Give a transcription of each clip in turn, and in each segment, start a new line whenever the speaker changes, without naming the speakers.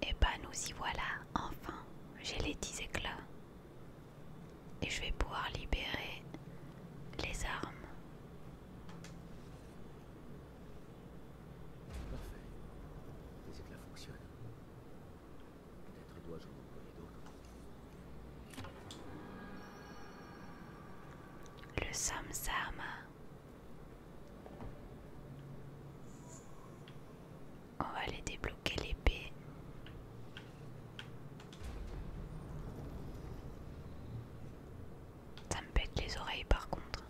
Eh ben nous y voilà, enfin, j'ai les 10 éclats. Et je vais pouvoir libérer les armes.
Parfait. Les éclats fonctionnent. Peut-être dois-je en employer d'autres.
Le Samsama on va aller débloquer l'épée. Ça me pète les oreilles par contre.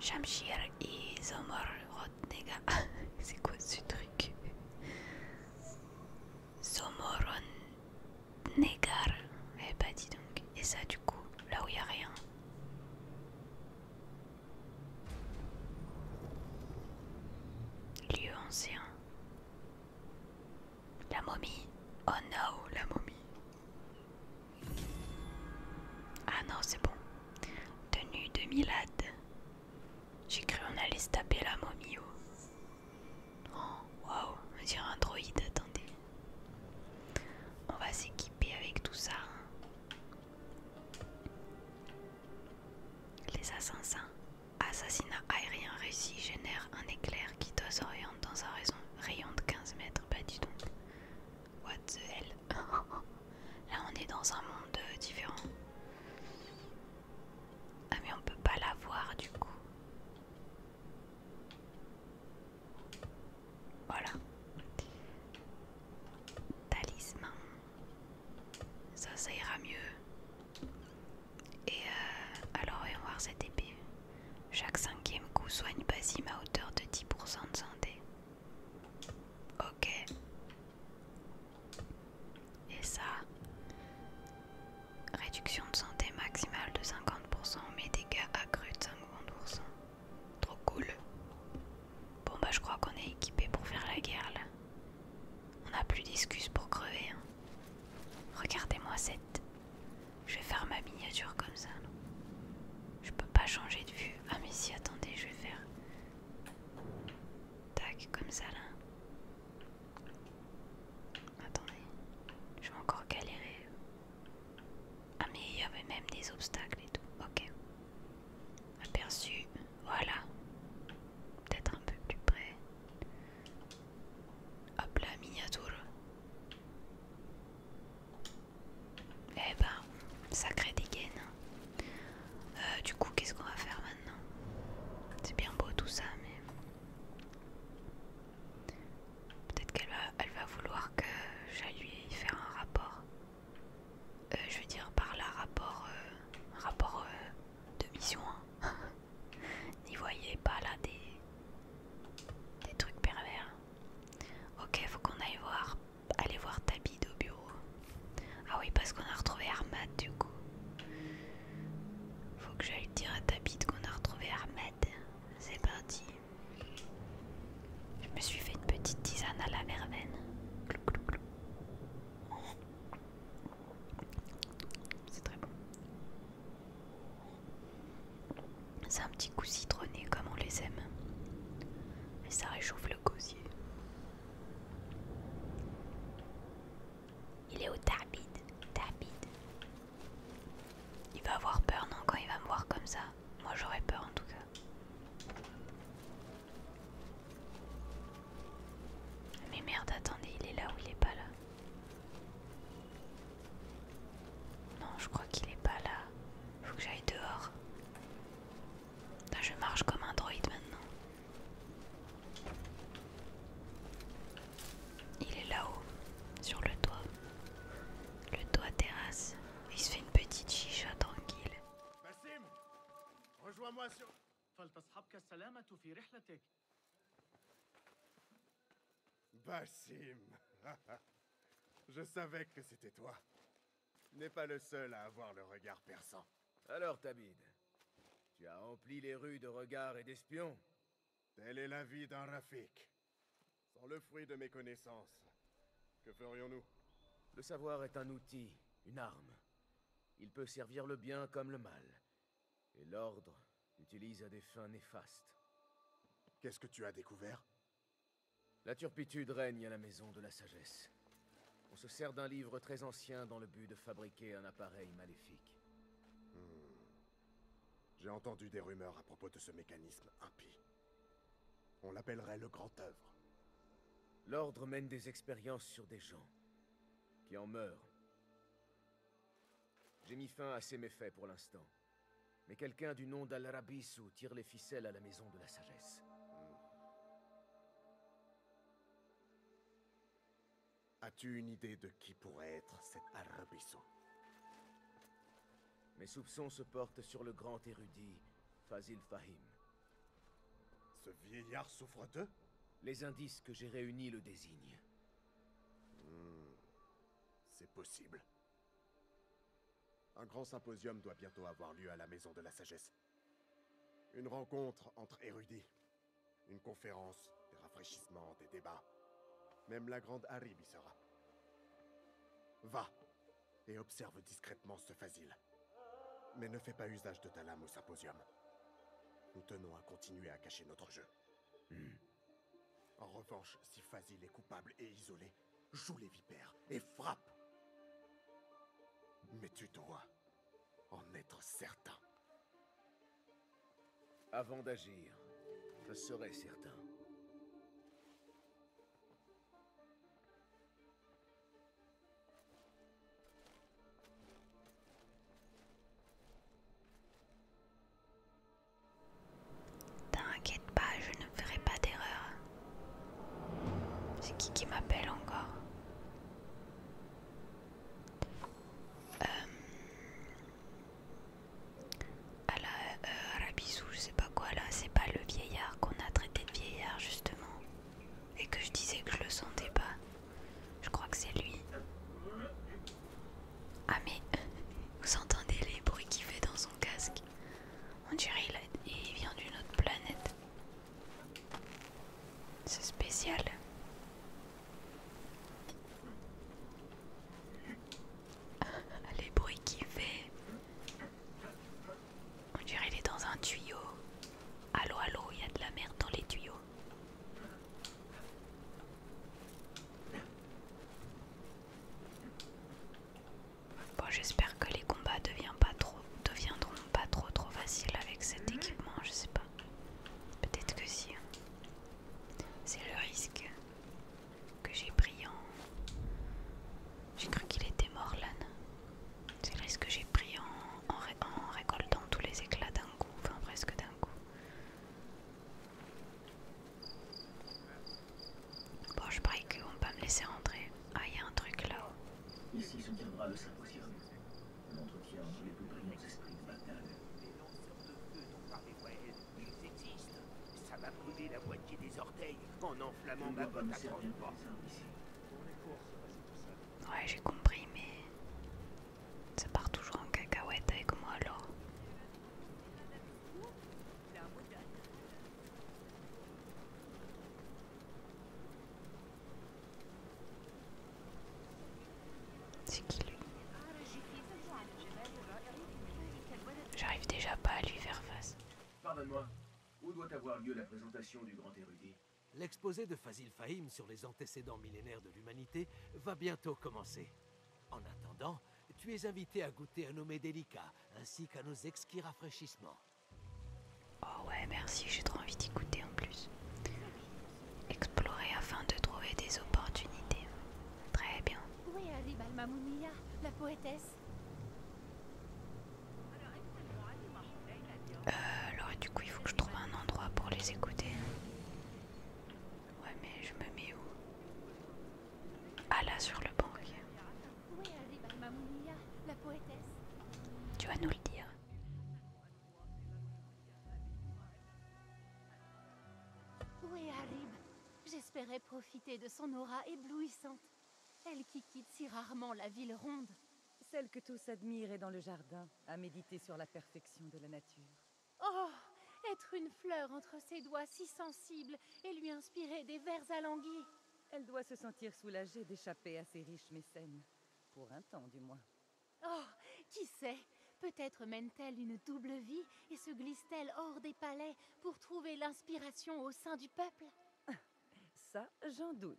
Shamshir C'est quoi ce truc Somoron Negar. Eh bah dis donc. Et ça du coup, là où il a rien. Lieu ancien. La momie. Oh no, la momie. Ah non, c'est bon. Tenue de Milad. J'ai cru on allait se taper la momie. Oh, oh waouh, on un droïde, attendez. On va s'équiper avec tout ça. Hein. Les assassins. Assassinat aérien réussi génère un éclair qui doit dans un rayon de 15 mètres. Bah dis donc. What the hell Là on est dans un monde euh, différent. Ah mais on peut pas la voir du coup. Voilà. Talisman. Ça, ça ira mieux. Et euh, alors, voyons voir cette épée. Chaque cinquième coup soigne Basim à hauteur de 10% de santé. Ok. Et ça, réduction de santé maximale de 50%, mais dégâts accrus de 50%. Trop cool. Bon bah je crois qu'on est équipé pour faire la guerre là. On n'a plus d'excuses pour crever. Hein. Regardez-moi cette. Je vais faire ma miniature comme ça. Je peux pas changer de vue. Ah mais si attendez, je vais faire. Tac, comme ça là. Attendez. Je vais encore galérer. Ah mais il y avait même des obstacles et tout. Ok. Aperçu. Voilà. Peut-être un peu plus près. Hop là, miniature. Eh ben, sacré dégaine. Hein. Euh, du coup, qu'est-ce qu'on va faire maintenant C'est bien beau tout ça, mais... Peut-être qu'elle va, elle va vouloir que j'aille lui faire un rapport. Euh, je veux dire par là, rapport, euh, rapport euh, de mission. Hein. N'y voyez pas là des, des trucs pervers. Ok, faut qu'on aille voir, aller voir Tabide au bureau. Ah oui, parce qu'on a retrouvé Armad du coup. Faut que j'aille dire à Tabid qu'on a retrouvé Armad. C'est parti. Je me suis fait une petite tisane à la verveine. C'est très bon. C'est un petit coup citronné comme on les aime. mais ça réchauffe le gosier. Il est au tapide. Il va avoir peur non quand il va me voir comme ça. Moi j'aurais peur en tout cas. Mais merde, attendez, il est là ou il est pas là Non, je crois qu'il est pas là. Faut que j'aille dehors. je marche comme un droïde maintenant. Il est là-haut, sur le toit. Le toit terrasse. Il se fait une petite chicha tranquille.
Basim,
je savais que c'était toi. Tu n'es pas le seul à avoir le regard perçant. Alors, Tabid, tu as empli les rues de regards et d'espions Telle est la vie d'un Rafik. Sans le fruit de mes connaissances, que ferions-nous Le savoir est un outil,
une arme. Il peut servir le bien comme le mal. Et l'ordre l'utilise à des fins néfastes. Qu'est-ce que tu as découvert La turpitude règne à la maison de la sagesse. On se sert d'un livre très ancien dans le
but de fabriquer un appareil maléfique. Hmm. J'ai entendu des rumeurs à propos de ce mécanisme impie. On l'appellerait le grand œuvre. L'ordre mène des expériences sur des gens qui en meurent.
J'ai mis fin à ces méfaits pour l'instant. Mais quelqu'un du nom dal rabisu tire les ficelles à la maison de la sagesse.
As-tu une idée de qui pourrait être cet al mes soupçons se portent sur le grand érudit,
Fazil Fahim. Ce
vieillard souffre il Les indices que j'ai réunis le désignent. Hmm, c'est possible. Un grand symposium doit bientôt avoir lieu à la Maison de la Sagesse. Une rencontre entre érudits. Une conférence, des rafraîchissements, des débats. Même la grande Harib y sera. Va, et observe discrètement ce Fazil. Mais ne fais pas usage de ta lame au symposium. Nous tenons à continuer à cacher notre jeu. Hmm. En revanche, si Fazil est coupable et isolé, joue les vipères et frappe. Mais tu dois en être certain. Avant d'agir, je serai certain.
T'inquiète pas, je ne ferai pas d'erreur. C'est qui qui m'appelle encore euh, ah euh, là, je sais pas quoi là, c'est pas le vieillard qu'on a traité de vieillard justement, et que je disais que je le sentais pas. Je crois que c'est lui. Ah mais vous entendez les bruits qu'il fait dans son casque On dirait qu'il vient d'une autre planète. C'est spécial les bruits qu'il fait. On dirait qu'il est dans un tuyau. Allo, allo, il y a de la merde dans les tuyaux. Bon, j'espère que les combats ne deviendront pas trop trop faciles avec cet mhm. équipement, je sais pas. Peut-être que si. Hein. C'est le risque que j'ai pris en. J'ai cru qu'il était mort, l'âne. C'est le risque que j'ai pris en, en, récoltant tous les éclats d'un coup, enfin presque d'un coup. Bon, je parie qu'on vont pas me laisser rentrer. Ah, il y a un truc là-haut.
Ici se tiendra le symposium. L'entretien entre les plus brillants esprits de bataille. Les lanceurs
de feu dont les Wild, ils existent. Ça m'a brûlé la moitié des orteils en enflammant ma botte à
Ouais, j'ai compris, mais ça part toujours en cacahuète avec moi alors.
C'est qui lui J'arrive déjà pas à lui
faire face.
Pardonne-moi, où doit avoir lieu la présentation du grand érudit L'exposé de Fazil
Fahim sur les antécédents millénaires de l'humanité va bientôt commencer. En attendant, tu es invité à goûter à nos délicat ainsi qu'à nos exquis rafraîchissements.
Oh ouais, merci, j'ai trop envie d'y goûter en plus. Explorer afin de trouver des opportunités. Très bien. Oui, la poétesse euh, alors du coup il faut que je trouve un endroit pour les écouter. Ouais mais je me mets où Ah là sur le banc.
Bah, tu vas nous le dire. Oui, J'espérais profiter de son aura éblouissante elle qui quitte si rarement la ville ronde. Celle que tous admirent dans le jardin, à méditer sur la perfection de la nature. Oh Être une fleur entre ses doigts si sensibles et lui inspirer des vers alanguis. Elle doit se sentir soulagée d'échapper à ses riches mécènes, pour un temps du moins. Oh Qui sait Peut-être mène-t-elle une double vie et se glisse-t-elle hors des palais pour trouver l'inspiration au sein du peuple ça, j'en doute.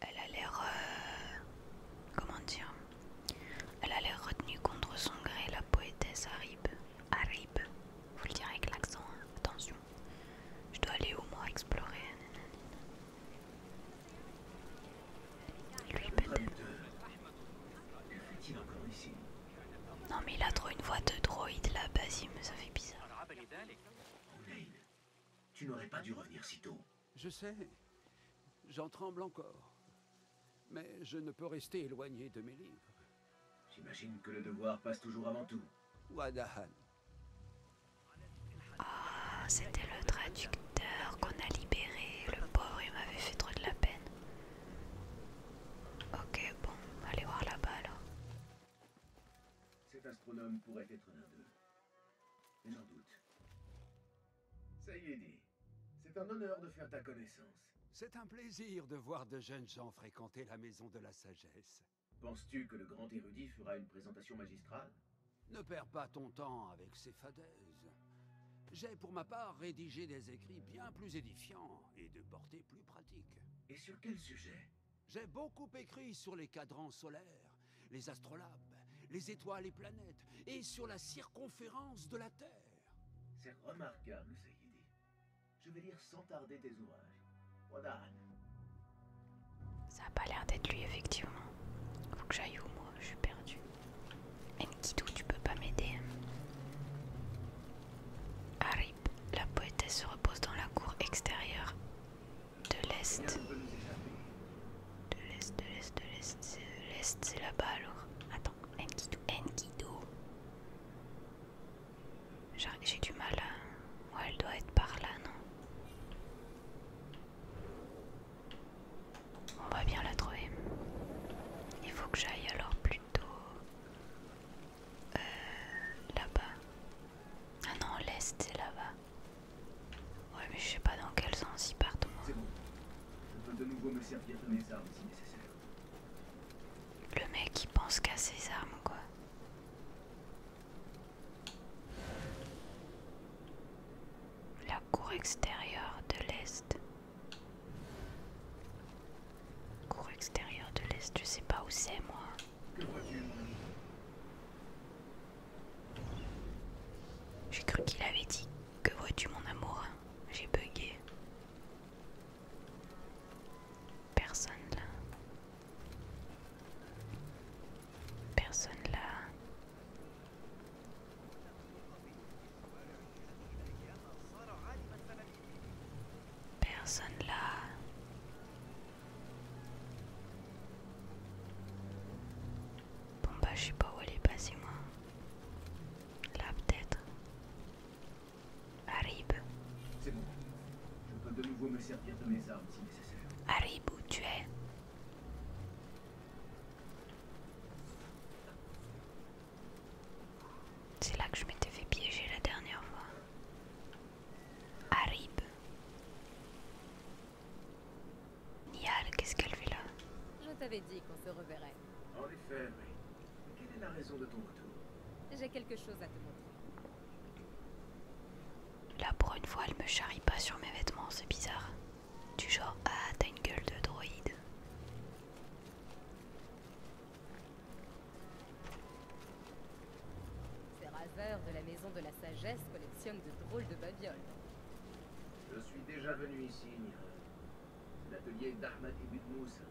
Elle a l'air... Euh, comment dire Elle a l'air retenue contre son gré, la poétesse Arib. il vous le direz avec l'accent, hein. attention. Je dois aller au moins explorer. Lui Non mais il a trop une voix de droïde là, me ça fait bizarre.
Tu n'aurais pas dû revenir si tôt. Je sais. J'en tremble encore. Mais je ne peux rester éloigné de mes livres.
J'imagine que le devoir passe toujours avant tout. Wadahan.
Ah,
c'était le traducteur
qu'on a libéré. Le pauvre, il m'avait fait trop de la peine. Ok, bon,
allez voir là-bas alors. Cet astronome pourrait être l'un d'eux. Mais j'en doute. Ça est, C'est un honneur de faire ta connaissance.
C'est un plaisir de voir de jeunes gens fréquenter la maison de la sagesse. Penses-tu que le grand
érudit fera une présentation magistrale
Ne perds pas ton temps avec ces fadaises. J'ai pour ma part rédigé des écrits bien plus édifiants et de portée plus pratique. Et sur quel sujet J'ai beaucoup écrit sur les cadrans solaires, les astrolabes, les
étoiles et planètes, et sur la circonférence de la Terre. C'est remarquable, dit. Je vais lire sans tarder tes ouvrages. Wadan.
Ça n'a pas l'air d'être lui, effectivement. Faut que j'aille où, moi Je suis perdu. Enkidu, tu peux pas m'aider. Harip, la poétesse se repose dans la cour extérieure de l'Est. De l'Est, de l'Est, de l'Est, l'Est, c'est là-bas alors. Attends, Enkidu, Enkidu. J'ai du mal à. Ouais, elle doit être par là, non on va bien la trouver. Il faut que j'aille alors plutôt euh, là-bas. Ah non, l'est c'est là-bas. Ouais, mais je sais pas dans quel sens ils partent.
Moi. Bon. si nécessaire.
Le mec il pense qu'à ses armes quoi. La cour extérieure de l'Est. Cours extérieur de l'Est, je sais pas où c'est moi. J'ai cru qu'il avait dit que vois-tu mon amour J'ai bugué. Personne là. Personne là. Personne là. Bon bah je sais pas où elle est passée
moi. Là peut-être. Arribe. C'est bon. Je peux de nouveau me servir de mes armes si nécessaire. Arribe où tu es
c'est là que je m'étais fait piéger la dernière fois.
Harib.
Nial, qu'est-ce qu'elle fait là Je t'avais dit qu'on se reverrait.
En effet, mais quelle est la raison de ton retour
J'ai quelque chose à te montrer. Là, pour une fois,
elle me charrie pas sur mes vêtements, c'est bizarre. Du genre, ah, t'as une gueule de droïde.
Ces raveurs de la maison de la sagesse collectionnent de drôles de babioles.
Je suis déjà venu ici, L'atelier d'Ahmad et Moussa.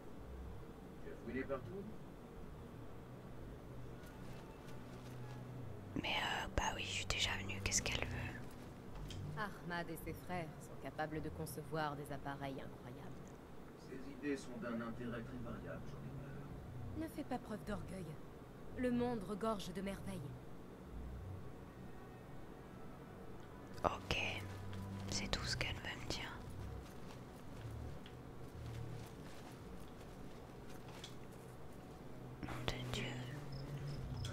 Tu as fouillé partout
Mais euh, bah oui, je suis déjà venu, qu'est-ce qu'elle veut
Ahmad et ses frères sont capables de concevoir des appareils
ces idées sont d'un intérêt très variable, j'en
ai Ne fais pas preuve d'orgueil. Le monde regorge de merveilles.
Ok, c'est tout ce qu'elle veut me dire. Mon de Dieu.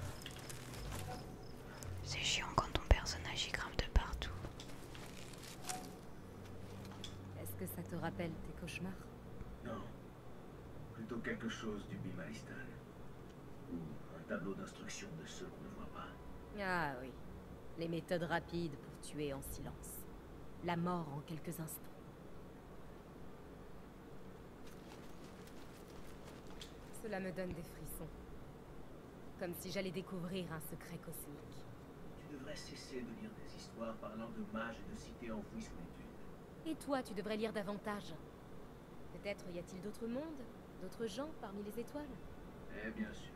C'est chiant quand ton personnage y grimpe de partout.
Est-ce que ça te rappelle tes cauchemars
Non. Plutôt quelque chose du Bimalistan. Ou un tableau d'instruction de ceux qu'on ne voit pas.
Ah oui. Les méthodes rapides pour tuer en silence. La mort en quelques instants. Cela me donne des frissons. Comme si j'allais découvrir un secret cosmique.
Tu devrais cesser de lire des histoires parlant de mages et de cités enfouies sous
les Et toi, tu devrais lire davantage. Peut-être y a-t-il d'autres mondes, d'autres gens parmi les étoiles
Eh bien sûr.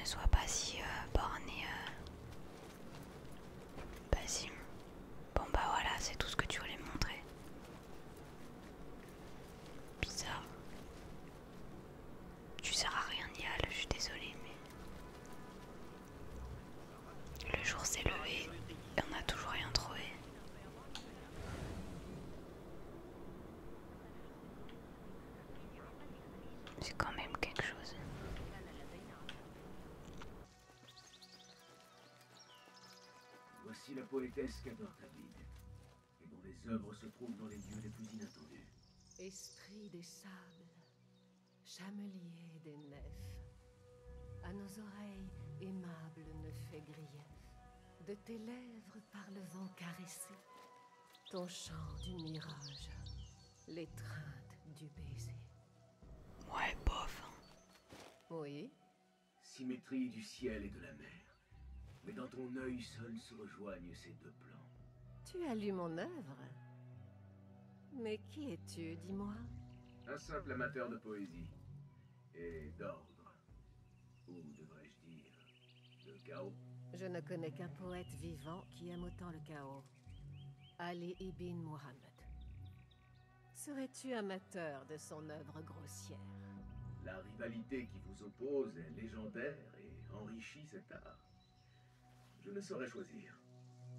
Ne sois pas si euh, borné. Euh, bon bah voilà, c'est tout ce que tu voulais me montrer. Bizarre. Tu seras à rien, yal, je suis désolée, mais. Le jour s'est levé et on n'a toujours rien trouvé.
C'est quand même quelque chose. Voici la poétesse qu'adore ta ville, et dont les œuvres se trouvent dans les lieux les plus inattendus.
Esprit des sables, chamelier des nefs, à nos oreilles aimable ne fait grief. De tes lèvres par le vent caressé, ton chant du mirage, l'étreinte du baiser.
Ouais, pauvre. Oui, symétrie du ciel et de la mer. Mais dans ton œil seul se rejoignent ces deux plans.
Tu as lu mon œuvre Mais qui es-tu, dis-moi
Un simple amateur de poésie. Et d'ordre. Ou devrais-je dire, de chaos.
Je ne connais qu'un poète vivant qui aime autant le chaos. Ali ibn Muhammad. Serais-tu un de son œuvre grossière.
La rivalité qui vous oppose est légendaire et enrichit cet art. Je ne saurais choisir.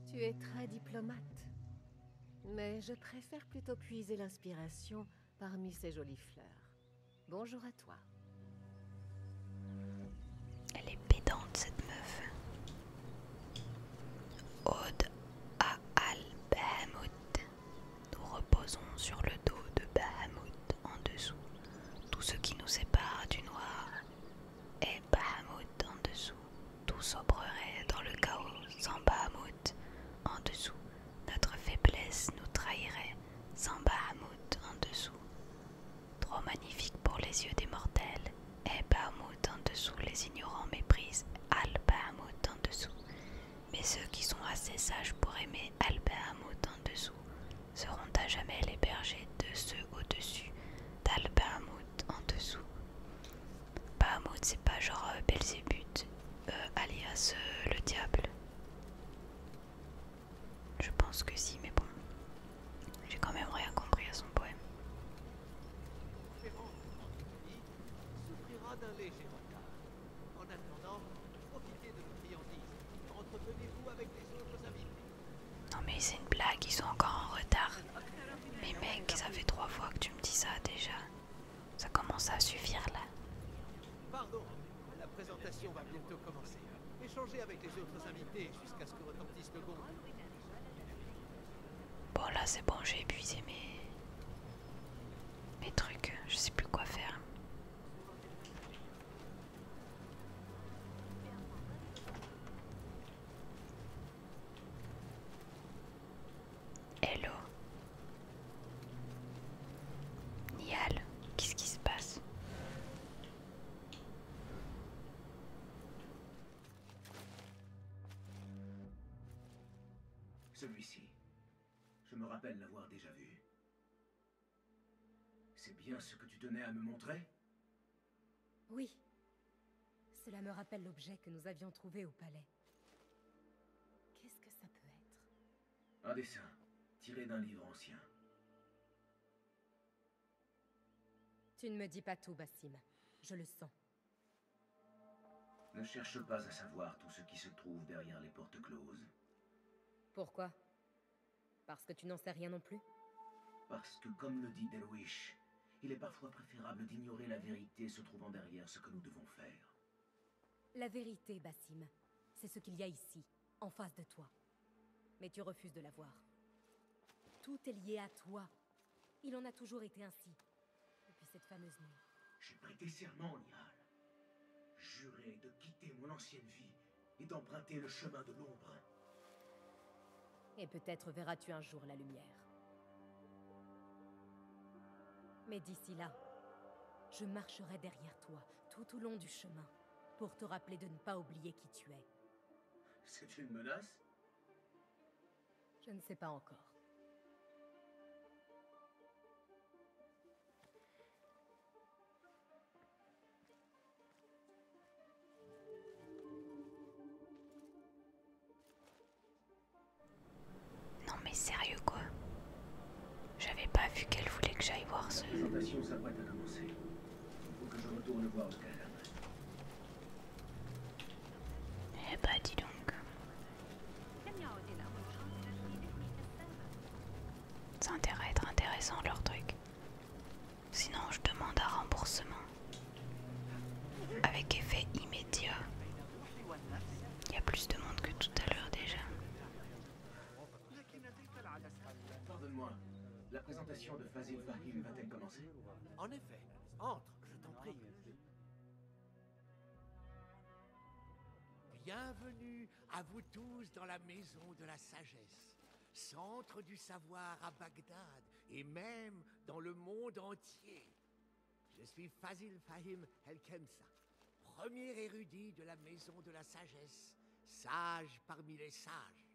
Tu es très diplomate. Mais je préfère plutôt puiser l'inspiration parmi ces jolies fleurs. Bonjour à toi.
Elle est pédante cette meuf. à nous reposons sur le dos de Bahamut en dessous. Tout ce qui nous sépare du noir est Bahamut en dessous. Tout sombrerait dans le chaos sans Bahamut en dessous. Notre faiblesse nous trahirait sans Bahamut en dessous. Trop magnifique pour les yeux des mortels, est Bahamut en dessous. Les ignorants méprisent Al Bahamut en dessous mais ceux qui sont assez sages pour aimer Hamoud en dessous seront à jamais les bergers de ceux au-dessus Hamoud en dessous. Hamoud, c'est pas genre euh, Belzébuth, euh, alias euh, le diable. Je pense que si, mais bon, j'ai quand même rien compris à son poème.
d'un en attendant, profitez de nos friandises. Entretenez-vous avec les autres invités. Non mais c'est une blague, ils sont encore en retard. Mais mec, ça fait trois fois que
tu me dis ça déjà. Ça commence à suffire là.
Pardon,
la présentation va bientôt commencer. Échangez avec les autres invités jusqu'à ce que retentisse le bon.
Bon là c'est bon, j'ai épuisé mes mes trucs, je sais plus quoi faire. Hello. Nial, qu'est-ce qui se passe
Celui-ci je me rappelle l'avoir déjà vu. C'est bien ce que tu tenais à me montrer
Oui. Cela me rappelle l'objet que nous avions trouvé au palais. Qu'est-ce que ça peut
être Un dessin, tiré d'un livre ancien.
Tu ne me dis pas tout, Bassim. Je le sens.
Ne cherche pas à savoir tout ce qui se trouve derrière les portes closes.
Pourquoi Parce que tu n'en sais rien non plus
Parce que, comme le dit Delwish, il est parfois préférable d'ignorer la vérité se trouvant derrière ce que nous devons faire.
La vérité, Bassim, c'est ce qu'il y a ici, en face de toi. Mais tu refuses de la voir. Tout est lié à toi. Il en a toujours été ainsi, depuis cette fameuse nuit.
J'ai prêté serment, Nial. Jurer de quitter mon ancienne vie et d'emprunter le chemin de l'ombre.
Et peut-être verras-tu un jour la lumière. Mais d'ici là, je marcherai derrière toi tout au long du chemin pour te rappeler de ne pas oublier qui tu es.
C'est une menace
Je ne sais pas encore.
Non mais sérieux quoi J'avais pas vu qu'elle voulait que
j'aille voir ce...
Eh bah dis donc, ça intéresse être intéressant leur truc. Sinon, je demande un remboursement avec effet immédiat. Il y a plus de monde que tout à l'heure déjà.
Pardonne-moi, la présentation de Fazil
Fahim va-t-elle commencer
En effet, entre, je t'en prie. Bienvenue à vous tous dans la maison de la sagesse, centre du savoir à Bagdad et même dans le monde entier. Je suis Fazil Fahim el premier érudit de la maison de la sagesse, sage parmi les sages.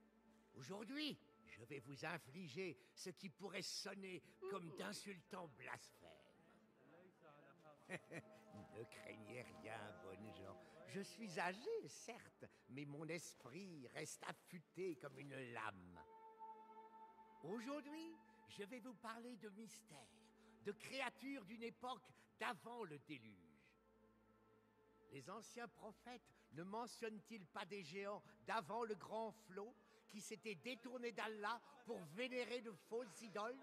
Aujourd'hui, je vais vous infliger ce qui pourrait sonner comme d'insultants blasphèmes. ne craignez rien, bonnes gens. Je suis âgé, certes, mais mon esprit reste affûté comme une lame. Aujourd'hui, je vais vous parler de mystères, de créatures d'une époque d'avant le déluge. Les anciens prophètes ne mentionnent-ils pas des géants d'avant le grand flot qui s'étaient détournés d'Allah pour vénérer de fausses idoles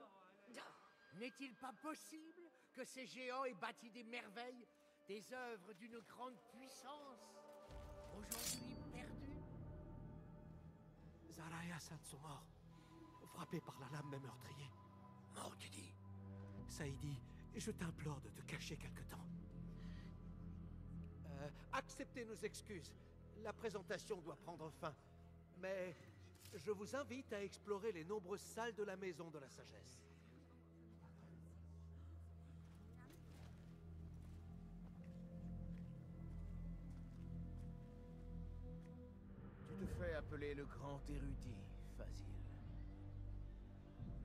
n'est-il pas possible que ces géants aient bâti des merveilles, des œuvres d'une grande puissance, aujourd'hui perdues
sont morts, frappés par la lame d'un meurtrier. Mort, tu dis Saïdi, je t'implore de te cacher quelque temps. Euh, acceptez nos excuses. La présentation doit prendre fin mais je vous invite à explorer les nombreuses salles de la Maison de la Sagesse.
Tu te fais appeler le grand érudit, Fasil.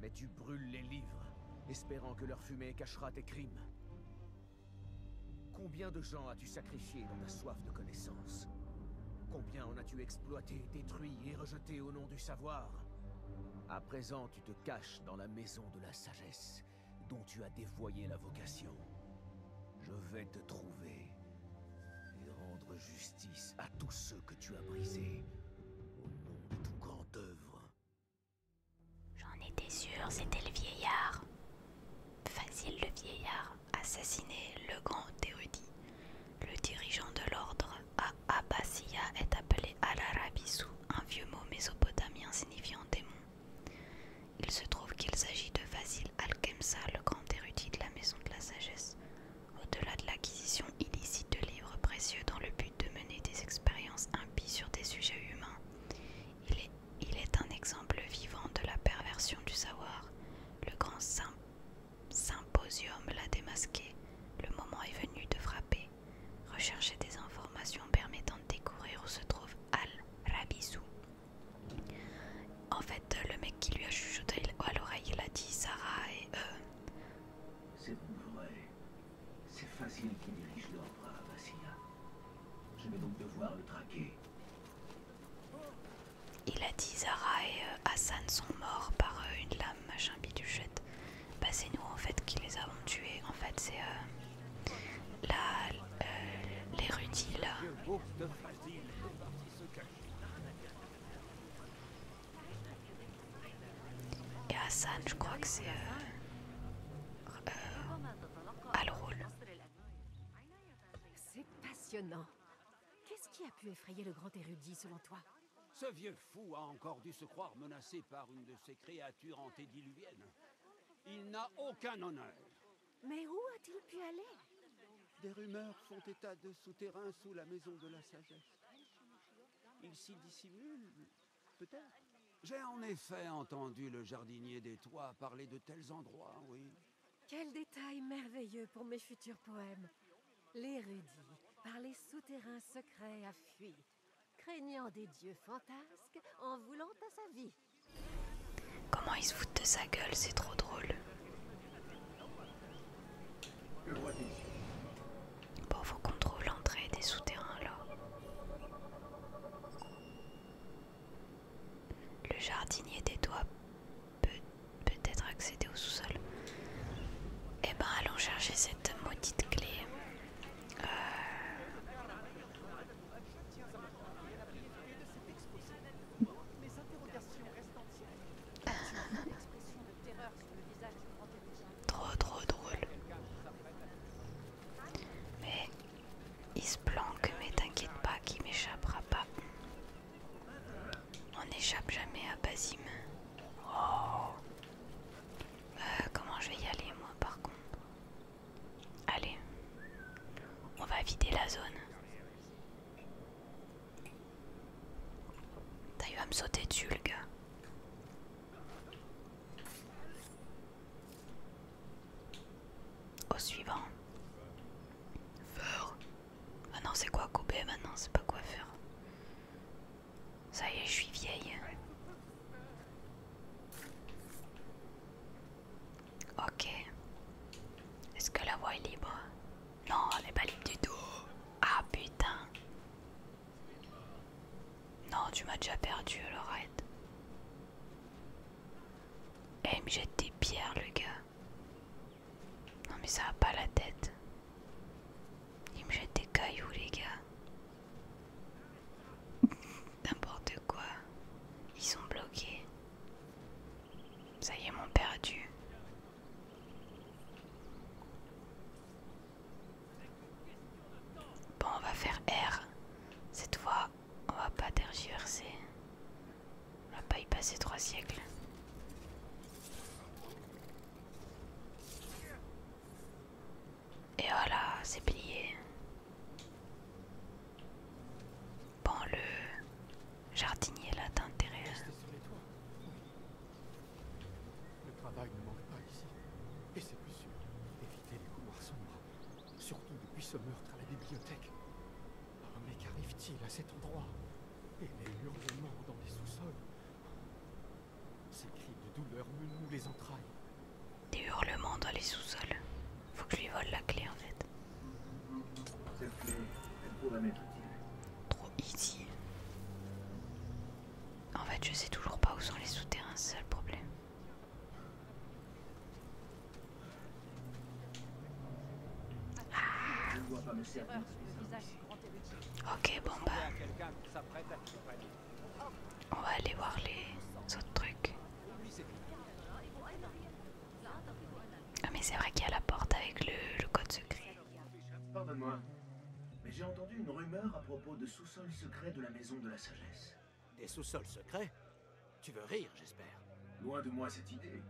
Mais tu brûles les livres, espérant que leur fumée cachera tes crimes. Combien de gens sacrifié dans la soif de connaissance Combien en as-tu exploité, détruit et rejeté au nom du savoir À présent, tu te caches dans la maison de la sagesse, dont tu as dévoyé la vocation. Je vais te trouver et rendre justice à tous ceux que tu as brisés, au nom de grand œuvre.
J'en étais sûr, c'était le vieillard. Facile le vieillard assassiné le grand érudit. Le dirigeant de l'ordre à Abbasiya est appelé al Arabisu, un vieux mot mésopotamien signifiant démon. Il se trouve qu'il s'agit de Vasil Al-Kemsa, le grand érudit de la maison de la sagesse, au-delà de l'acquisition illicite de livres précieux dans le but de mener des expériences impies sur des sujets humains. Il est, un exemple vivant de la perversion du savoir. Le grand symbole symposium l'a démasqué. Le moment est venu de frapper. rechercher des informations permettant de découvrir où se trouve Al-Rabizou. En fait, le mec qui lui a chuchoté à l'oreille, l'a dit Sarah et euh.
C'est vrai. C'est facile qui dirige l'ordre à Je vais donc devoir le traquer.
Il a dit Zara et euh, Hassan sont morts par euh, une lame, machin biduchette. Bah c'est nous en fait qui les avons tués. En fait c'est euh, la
là.
Et Hassan je crois que c'est euh, le rôle C'est passionnant. Qu'est-ce qui a pu effrayer le grand érudit, selon toi
Ce vieux fou a encore dû se croire menacé par une de ces créatures antédiluviennes. Il n'a aucun honneur. Mais où a-t-il pu aller Des rumeurs font état de souterrains sous la maison de la sagesse. Il s'y dissimule, peut-être. J'ai en effet entendu le jardinier des toits parler de tels endroits, oui.
Quel détail merveilleux pour mes futurs poèmes. L'érudit, par les souterrains secrets, a fui, craignant des dieux fantasques, en voulant à sa vie.
Comment il se fout de sa gueule, c'est trop drôle. Bon, faut qu'on l'entrée des souterrains là. Le jardinier des doigts peut peut-être accéder au sous-sol. Eh ben allons chercher cette maudite clé. Euh. trop trop drôle. Mais il se planque, mais t'inquiète pas qu'il m'échappera pas. On n'échappe jamais à Basim. Oh. Euh, comment je vais y aller moi par contre Allez. On va vider la zone. T'as eu à me sauter dessus le gars. Au suivant. Fort. Ah non, c'est quoi couper maintenant C'est pas quoi faire. Ça y est, je suis vieille. Ok. Est-ce que la voix est libre Non, elle est pas libre du tout. Ah putain. Non, tu m'as déjà perdu, alors Et Eh, il me jette des pierres, le gars. Non mais ça a pas la tête. ils me jettent des cailloux les gars. N'importe quoi. Ils sont bloqués. Ça y est, mon perdu. Bon, on va faire R. Cette fois, on va pas tergiverser. On va pas y passer trois siècles. Et voilà, c'est plié.
Bon, le
jardinier là t'intéresse.
Le travail ne manque pas ici. Et c'est plus sûr. Évitez les couloirs sombres. Surtout depuis ce meurtre à la bibliothèque
mais qu'arrive-t-il à cet endroit Et les hurlements dans les sous-sols
Ces cris de douleur me nouent les entrailles.
Des hurlements dans les sous-sols. Faut que je lui vole la clé en fait. Trop easy. En fait, je sais toujours pas où sont les souterrains, c'est le problème.
Ah. Ok, bon bah.
On va aller voir les autres trucs. Ah, mais c'est vrai qu'il y a la porte avec le, code secret.
Pardonne-moi, mais j'ai entendu une rumeur à propos de sous-sols secrets de la maison de la sagesse. Des sous-sols secrets Tu veux rire, j'espère. Loin de moi cette idée.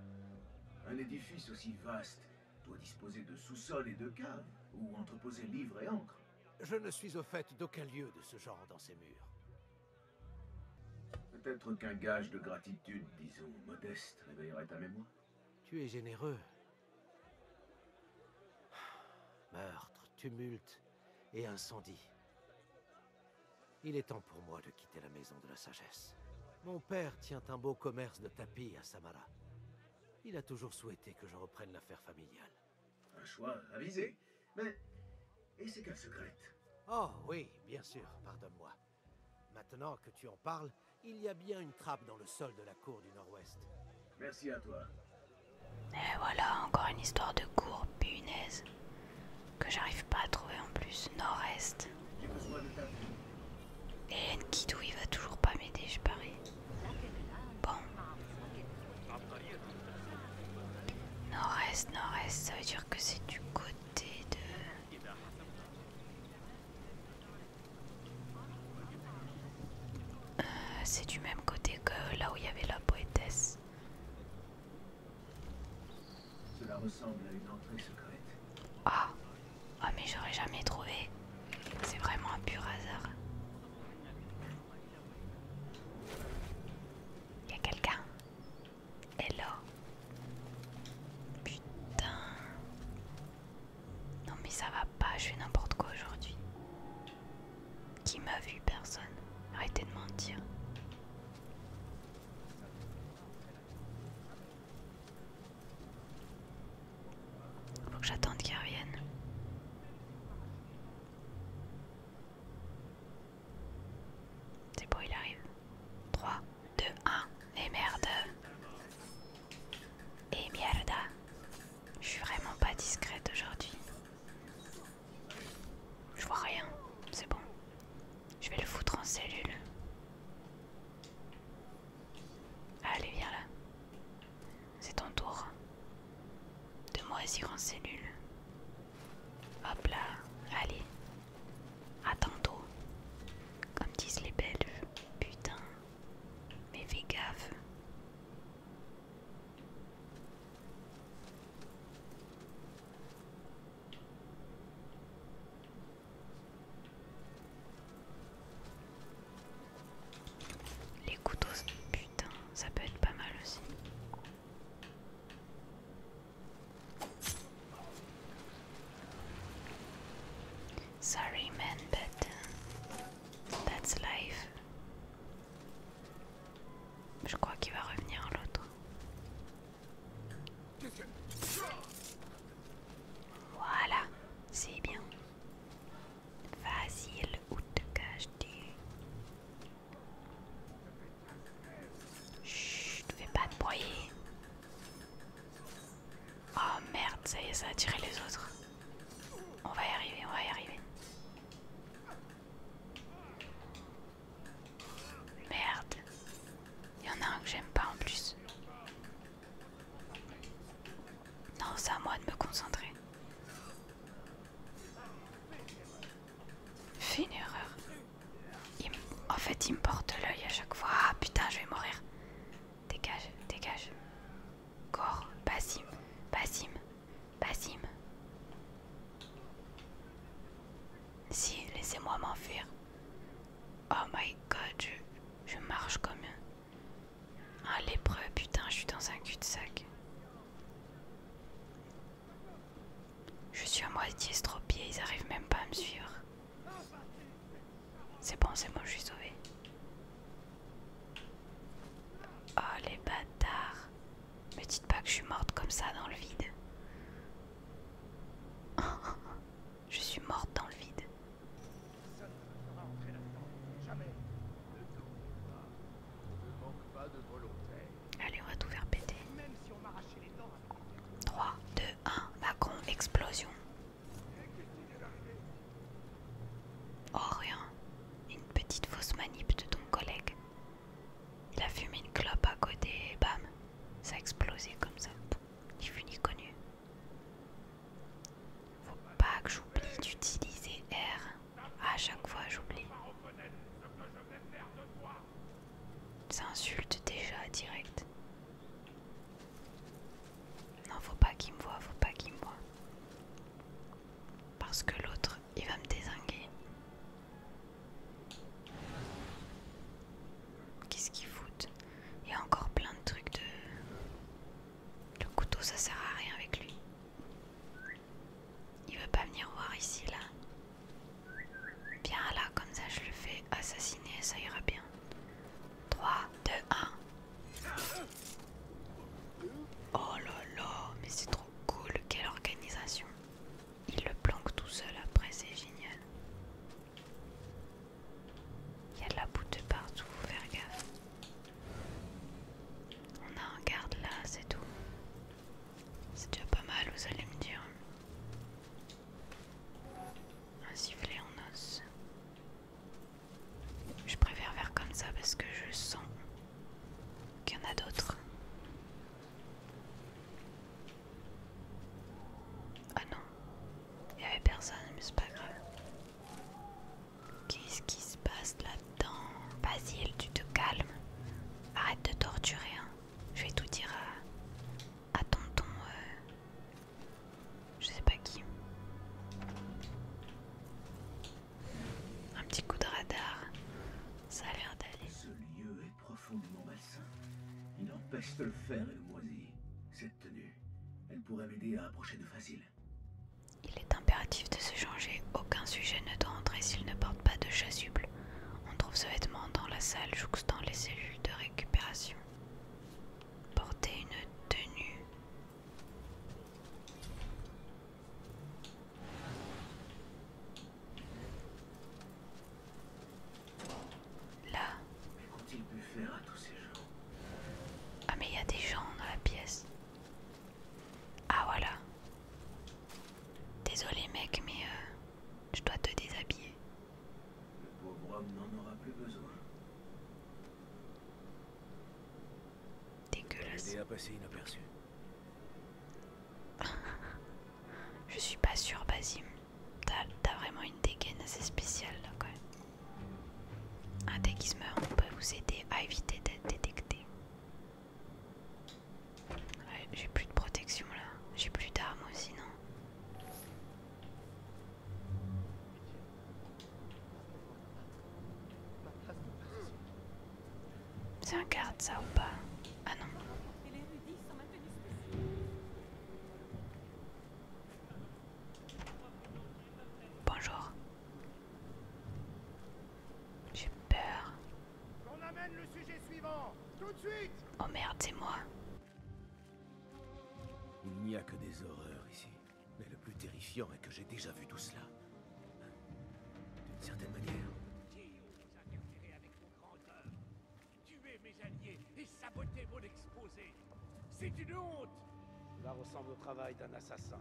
Un édifice aussi vaste doit disposer de sous sol et de caves, ou entreposer livres et encres. Je ne suis au fait d'aucun lieu de ce genre dans ces murs. Peut-être qu'un gage de gratitude, disons, modeste, réveillerait ta mémoire. Tu es généreux. Meurtre, tumulte et incendie.
Il est temps pour moi de quitter la maison de la sagesse. Mon père tient un beau commerce de tapis à Samara. Il a toujours souhaité que je reprenne l'affaire familiale.
Un choix avisé, mais... Et c'est qu'elle secret
Oh oui, bien sûr, pardonne-moi. Maintenant que tu en parles, il y a bien une trappe dans le sol de
la cour du Nord-Ouest. Merci à toi.
Et voilà, encore une histoire de cour punaise. Que j'arrive pas à trouver en plus, Nord-Est. Et Nkidou il va toujours pas m'aider, je parie. Bon. Nord-est, nord-est, ça veut dire que c'est du côté de... Euh, c'est du même côté que là où il y avait la poétesse.
Cela ressemble à une entrée secrète.
Ah oh, mais j'aurais jamais trouvé. C'est vraiment un pur hasard. Y'a quelqu'un Hello Putain Non mais ça va pas, je fais n'importe quoi aujourd'hui. Qui m'a vu Personne. Arrêtez de mentir. Faut que j'attende qu'il revienne. C'est bon, il arrive. 3, 2, 1, et merde. Et merde. Je suis vraiment pas discrète aujourd'hui. Je vois rien, c'est bon. Je vais le foutre en cellule. Allez, viens là. C'est ton tour. De moisir en cellule. Hop là, allez. À tantôt. Comme disent les Belges. Putain. Mais fais gaffe. Les couteaux, putain, ça peut être pas mal aussi. Sorry man, but uh, that's life. Je crois qu'il va revenir l'autre. Voilà, c'est bien. vas-y, où te caches-tu Chut, ne fais pas de broyer. Oh merde, ça y est, ça a tiré les autres. On va y arriver, on va y arriver. Merde. Il y en a un que j'aime pas en plus. Non, c'est à moi de me concentrer. Fais une erreur. en fait, il me porte l'œil à chaque fois. Ah putain, je vais mourir. Dégage, dégage. Corps, Basim, Basim, Basim. Si, laissez-moi m'enfuir. Oh my god, je, marche comme un, lépreux, putain, je suis dans un cul-de-sac. Je suis à moitié estropié, ils arrivent même pas à me suivre. C'est bon, c'est bon, je suis sauvée. Oh les bâtards. Me dites pas que je suis morte comme ça dans le vide. Je suis morte dans le vide. Allez, on va tout faire péter. 3, 2, 1. Macron, explosion. Oh, rien. Une petite fausse manip de ton collègue. Il a fumé une clope à côté et bam, ça a explosé comme ça. Ni vu ni connu. Faut pas que j'oublie d'utiliser R. À chaque fois, j'oublie. Ça insulte déjà direct. Non, faut pas qu'il me voie, faut pas qu'il me voie. Parce que l'autre, il va me désinguer. Qu'est-ce qu'il fout Il y a encore plein de trucs de... Le couteau, ça sert à rien avec lui. Il veut pas venir voir ici, là. Bien là, comme ça je le fais assassiner, ça ira bien. 3, 2, 1.
Oh là là,
mais c'est trop cool, quelle organisation. Il le planque tout seul après, c'est génial. Il y a de la bouteille partout, faut faire gaffe. On a un garde là, c'est tout. C'est déjà pas mal, vous allez me dire. Un sifflet en os. Je préfère faire comme ça parce que je sens qu'il y en a d'autres. Ah non, il avait personne, mais c'est pas grave. Qu'est-ce qui se passe là-dedans Basile, tu te calmes. Arrête de torturer. Hein. Je vais tout dire à, à tonton. Euh, je sais pas qui. Un petit
coup de radar. Ça a l'air d'aller. lieu est profondément Il empêche le faire et tenue. Elle pourrait m'aider à approcher de Facile. Il est impératif de se changer. Aucun sujet ne doit entrer s'il ne porte pas de
chasuble. On trouve ce vêtement dans la salle jouxtant les cellules de récupération. Porter une tenue.
Là. Mais Qu'ont-ils pu faire à tous ces gens
Ah mais il y a des gens dans la pièce. Ah voilà. Désolé mec, mais euh, je dois te déshabiller.
Le pauvre homme n'en aura plus besoin. Dégueulasse. inaperçu.
je suis pas sûr, Basim. T'as vraiment une dégaine assez spéciale là quand même. Un on peut vous aider à éviter d'être détecté. j'ai plus de protection là. J'ai plus d'armes aussi, non C'est un garde ça ou pas Ah non. Bonjour. J'ai peur. On amène le sujet suivant, tout de suite. Oh merde, c'est moi.
Il n'y a que des horreurs ici. Mais le plus terrifiant est que j'ai déjà vu tout cela.
D'une certaine manière. Tuez mes alliés et saboter mon exposé
c'est une honte Cela ressemble au travail d'un assassin,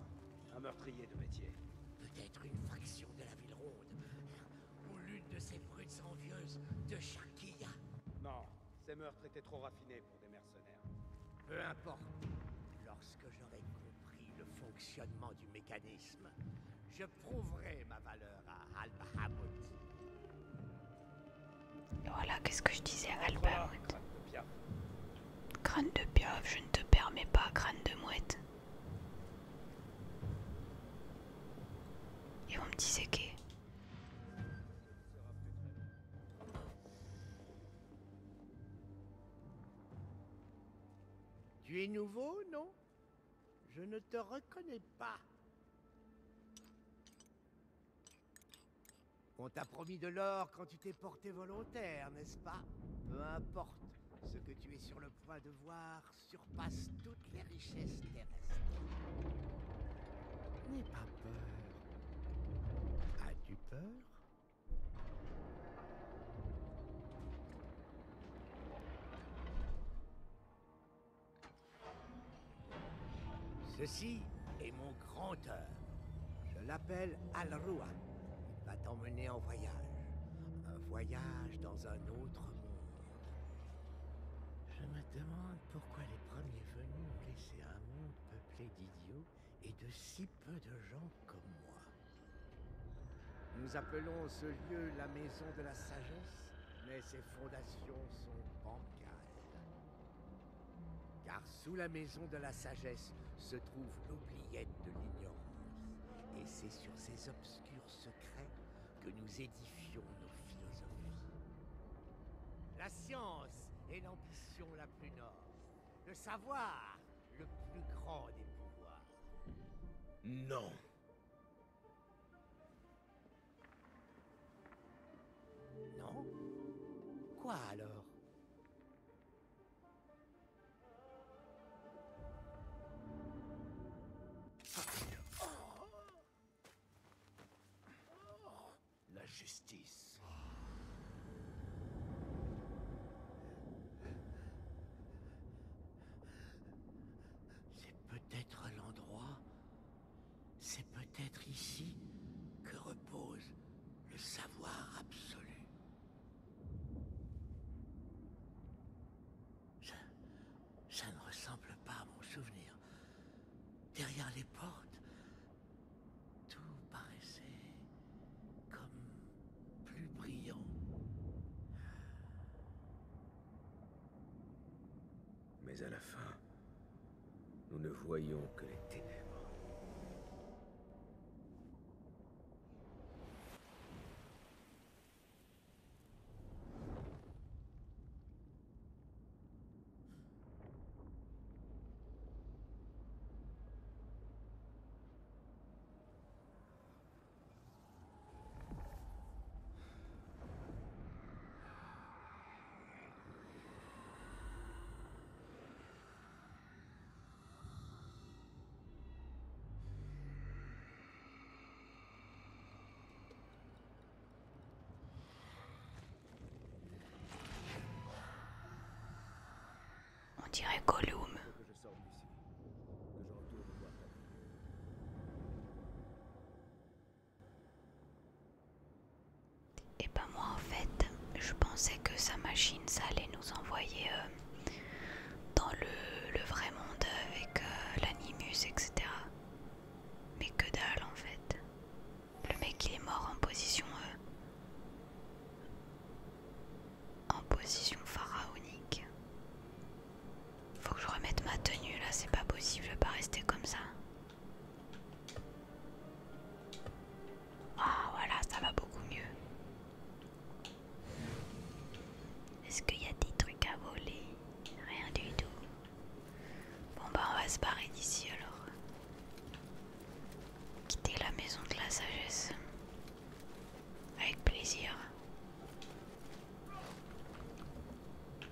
un meurtrier de métier. Peut-être une fraction de la ville ronde, ou l'une de ces brutes envieuses de Sharkia. Non, ces meurtres étaient trop raffinés pour des mercenaires. Peu importe. Lorsque j'aurai compris le fonctionnement du mécanisme, je prouverai ma valeur à al voilà, qu'est-ce que je disais à Albert
Crâne de piaf, je ne te permets pas, crâne de mouette. Et on me que...
Tu es nouveau, non Je ne te reconnais pas. On t'a promis de l'or quand tu t'es porté volontaire, n'est-ce pas Peu importe, ce que tu es sur le point de voir surpasse toutes les richesses terrestres. N'aie pas peur. As-tu peur Ceci est mon grand œuvre. Je l'appelle Alrua. va t'emmener en voyage. Un voyage dans un autre monde. Je me demande pourquoi les premiers venus ont laissé un monde peuplé d'idiots et de si peu de gens comme moi. Nous appelons ce lieu la maison de la sagesse, mais ses fondations sont bancales. Car sous la maison de la sagesse se trouve l'oubliette de l'ignorance. Et c'est sur ces obscurs secrets que nous édifions nos philosophies. La science est l'ambition la plus noble. Le savoir, le plus grand des pouvoirs. Non. Non Quoi alors
La justice.
C'est peut-être l'endroit c'est peut-être ici que repose le savoir absolu. Ça, ne ressemble pas à mon souvenir. Derrière les portes, tout paraissait comme plus
brillant. Mais à la fin, nous ne voyons que les ténèbres. On dirait Gollum.
Et pas ben moi en fait, je pensais que sa machine, ça allait nous envoyer euh, dans le, vrai monde avec euh, l'animus, etc. Mais que dalle en fait. Le mec il est mort en position... Euh, en position pharaonique. Faut que je remette ma tenue là, c'est pas possible, je pas rester comme ça. Ah voilà, ça va beaucoup mieux. Est-ce qu'il y a des trucs à voler Rien du tout. Bon bah on va se barrer d'ici alors. Quitter la maison de la sagesse. Avec plaisir.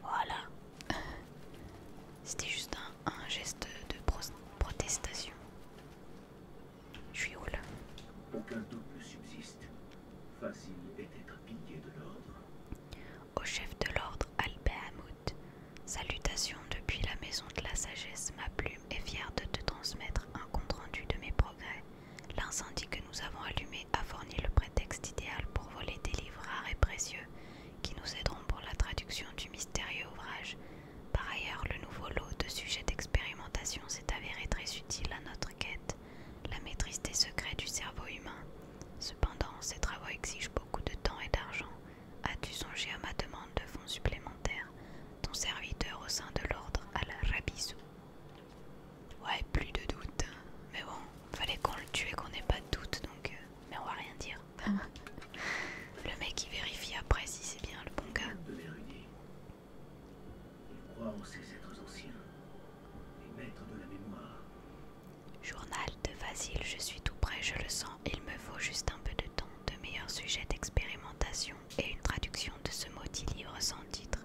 Voilà. C'était juste un un, geste de protestation. Je suis où Aucun doute subsiste. Facile est d'être de l'ordre. Au chef de l'ordre, Albert Hamut. salutations depuis la maison de la sagesse. Ma plume est fière de te transmettre un compte-rendu de mes progrès. L'incendie que nous avons allumé a fourni le prétexte idéal pour voler des livres rares et précieux qui nous aideront pour la traduction du mystérieux ouvrage. Par ailleurs, le nouveau lot de sujets d'expérimentation s'est avéré très utile à notre quête, la maîtrise des secrets du cerveau humain. Cependant, ces travaux exigent beaucoup de temps et d'argent. As-tu songé à ma demande de fonds supplémentaires Ton serviteur au sein de l'ordre al la Ouais, plus de doute. Hein. Mais bon, fallait qu'on le tue et qu'on n'ait pas de doute, donc... Euh, mais on va rien dire. le mec il vérifie après si c'est bien le bon gars. Journal de Vasile, je suis tout prêt, je le sens, il me faut juste un peu de temps, de meilleurs sujets d'expérimentation et une traduction de ce maudit livre sans titre.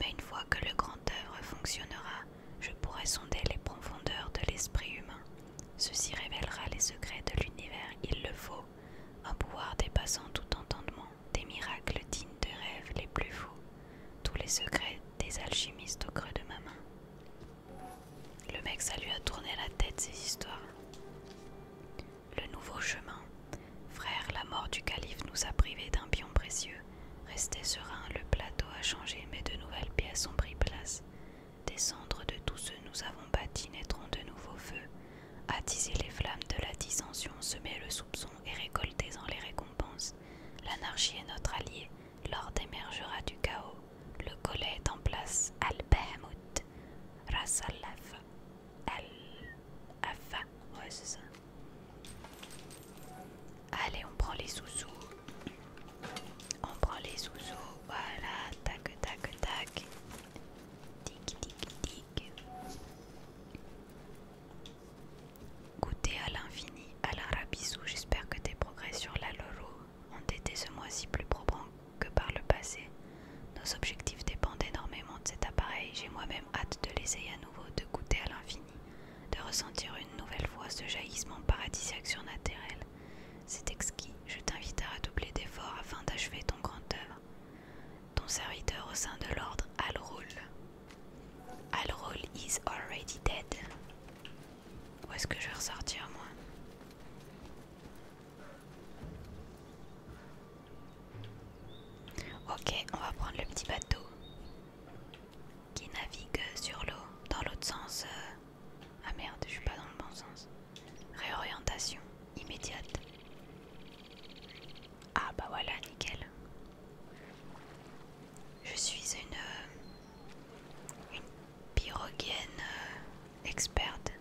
Mais une fois que le grand œuvre fonctionnera, je pourrai sonder les profondeurs de l'esprit humain Ceci révélera les secrets de l'univers, il le faut, un pouvoir dépassant tout entendement, des miracles dignes de rêves les plus fous, tous les secrets des alchimistes au creux de ma main. Le mec, ça lui a tourné la tête ces histoires. Le nouveau chemin. Frère, la mort du calife nous a privés d'un pion précieux. Restez serein, le plateau a changé, mais de nouvelles pièces ont pris place. Des cendres de tout ce nous avons bâti naîtront de nouveaux feux. Attiser les flammes de la dissension, semez le soupçon et récoltez en les récompenses. L'anarchie est notre allié, l'ordre émergera du chaos. Le collet est en place, al bahamut Ras Al-Afa, Allez, on prend les sous-sous. On prend les sous-sous, voilà, tac, tac, tac. Tic, tic, tic. Goûter à l'infini, à la j'espère que tes progrès sur la lolo. ont été ce mois-ci plus probants que par le passé. Nos objectifs dépendent énormément de cet appareil, j'ai moi-même hâte de l'essayer à nouveau, de goûter à l'infini, de ressentir une nouvelle fois ce jaillissement paradisiaque surnaturel. C'est exquis, je t'invite à redoubler d'efforts afin d'achever ton grandeur, œuvre. Ton serviteur au sein de l'ordre, Al Alrul is already dead. Où est-ce que je vais ressortir, moi Ok, on va prendre le petit bateau qui navigue sur l'eau, dans l'autre sens. Euh, ah merde, je suis pas dans le bon sens. Réorientation immédiate. Ah bah voilà, nickel. Je suis une, euh, une euh, experte.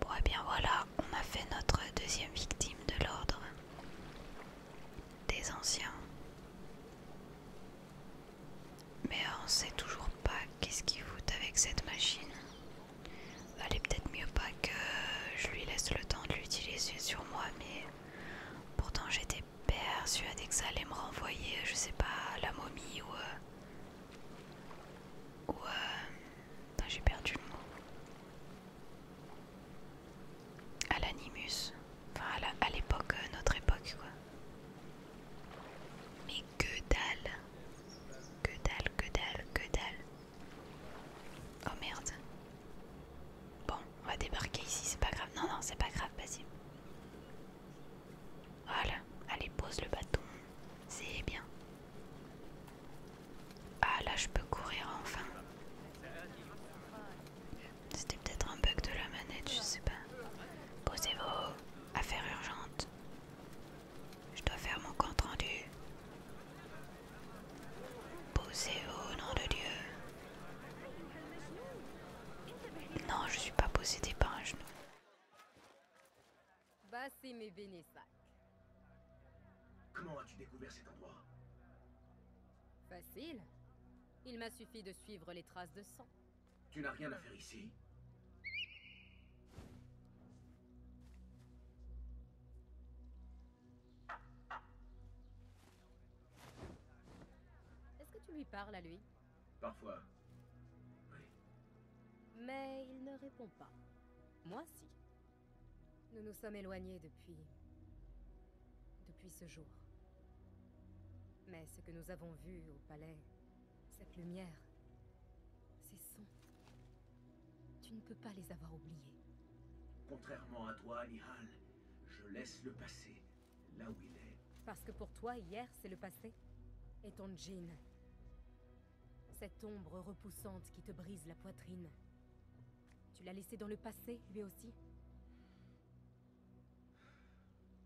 Bon, et eh bien voilà, on a fait notre deuxième victime de l'ordre des anciens. Mais on sait toujours pas qu'est-ce qu'il fout avec cette machine. Allez, bah, peut-être mieux pas que je lui laisse le temps de l'utiliser sur moi, mais pourtant j'étais persuadée que ça allait me renvoyer, je sais pas, à la momie ou. Euh, ou. Euh, j'ai perdu le mot. À l'animus. Voilà, à l'époque, euh, notre époque quoi. Mais que dalle Que dalle, que dalle, que dalle Oh merde Bon, on va débarquer ici, c'est pas grave. Non, non, c'est pas grave, vas-y. Voilà, allez, pose le bâton. C'est bien. Ah là, je peux courir enfin. C'était peut-être un bug de la manette, je sais pas. Posez-vous. Affaire urgente. Je dois faire mon compte rendu.
Posez-vous, nom de Dieu. Non, je suis pas possédée par un genou.
Comment as-tu découvert cet endroit
Facile. Il m'a suffi de suivre les traces de sang.
Tu n'as rien à faire ici
Est-ce que tu lui parles à lui
Parfois. Oui.
Mais il ne répond pas. Moi, si. Nous nous sommes éloignés depuis depuis ce jour. Mais ce que nous avons vu au palais, cette lumière, ces sons, tu ne peux pas les avoir oubliés.
Contrairement à toi, Nihal, je laisse le passé là où il est.
Parce que pour toi, hier, c'est le passé Et ton djinn Cette ombre repoussante qui te brise la poitrine Tu l'as laissé dans le passé, lui aussi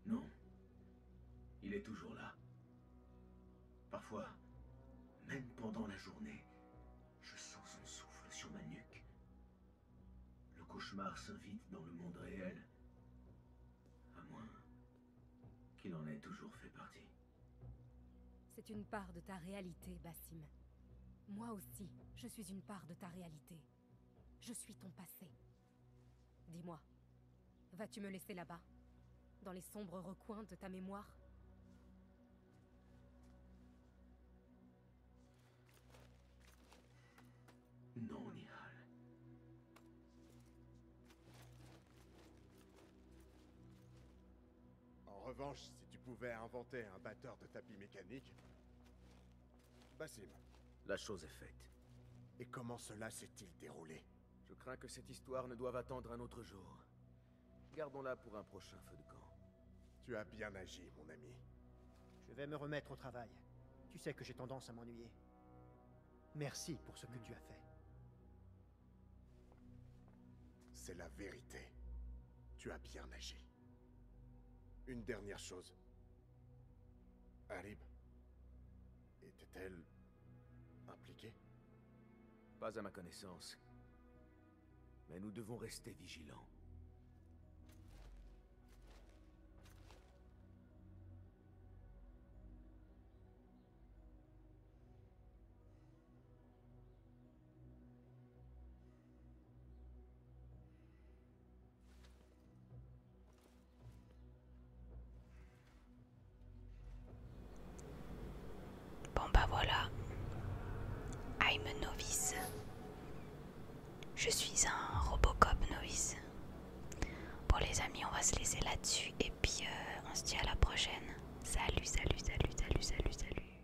non. Il est toujours là. Parfois, même pendant la journée, je sens son souffle sur ma nuque. Le cauchemar s'invite dans le monde réel, à moins qu'il en ait toujours fait partie.
C'est une part de ta réalité, Bassim. Moi aussi, je suis une part de ta réalité. Je suis ton passé. Dis-moi, vas-tu me laisser là-bas Dans les sombres recoins de ta mémoire
Non, Nihal.
En revanche, si tu pouvais inventer un batteur de tapis mécanique, Basim. La chose est faite. Et comment cela s'est-il déroulé Je crains
que cette histoire ne doive attendre un autre jour. Gardons-la pour un prochain feu de camp.
Tu as bien agi, mon ami.
Je vais me remettre au travail. Tu sais que j'ai tendance à m'ennuyer. Merci pour ce que hmm. tu as fait.
C'est la vérité. Tu as bien agi. Une dernière chose. Harib était-elle impliquée Pas à ma connaissance.
Mais nous devons rester vigilants.
Bon bah voilà. I'm novice. Je suis un Robocop novice. Bon les amis, on va se laisser là-dessus et puis euh, on se dit à la prochaine. Salut, salut, salut, salut, salut, salut.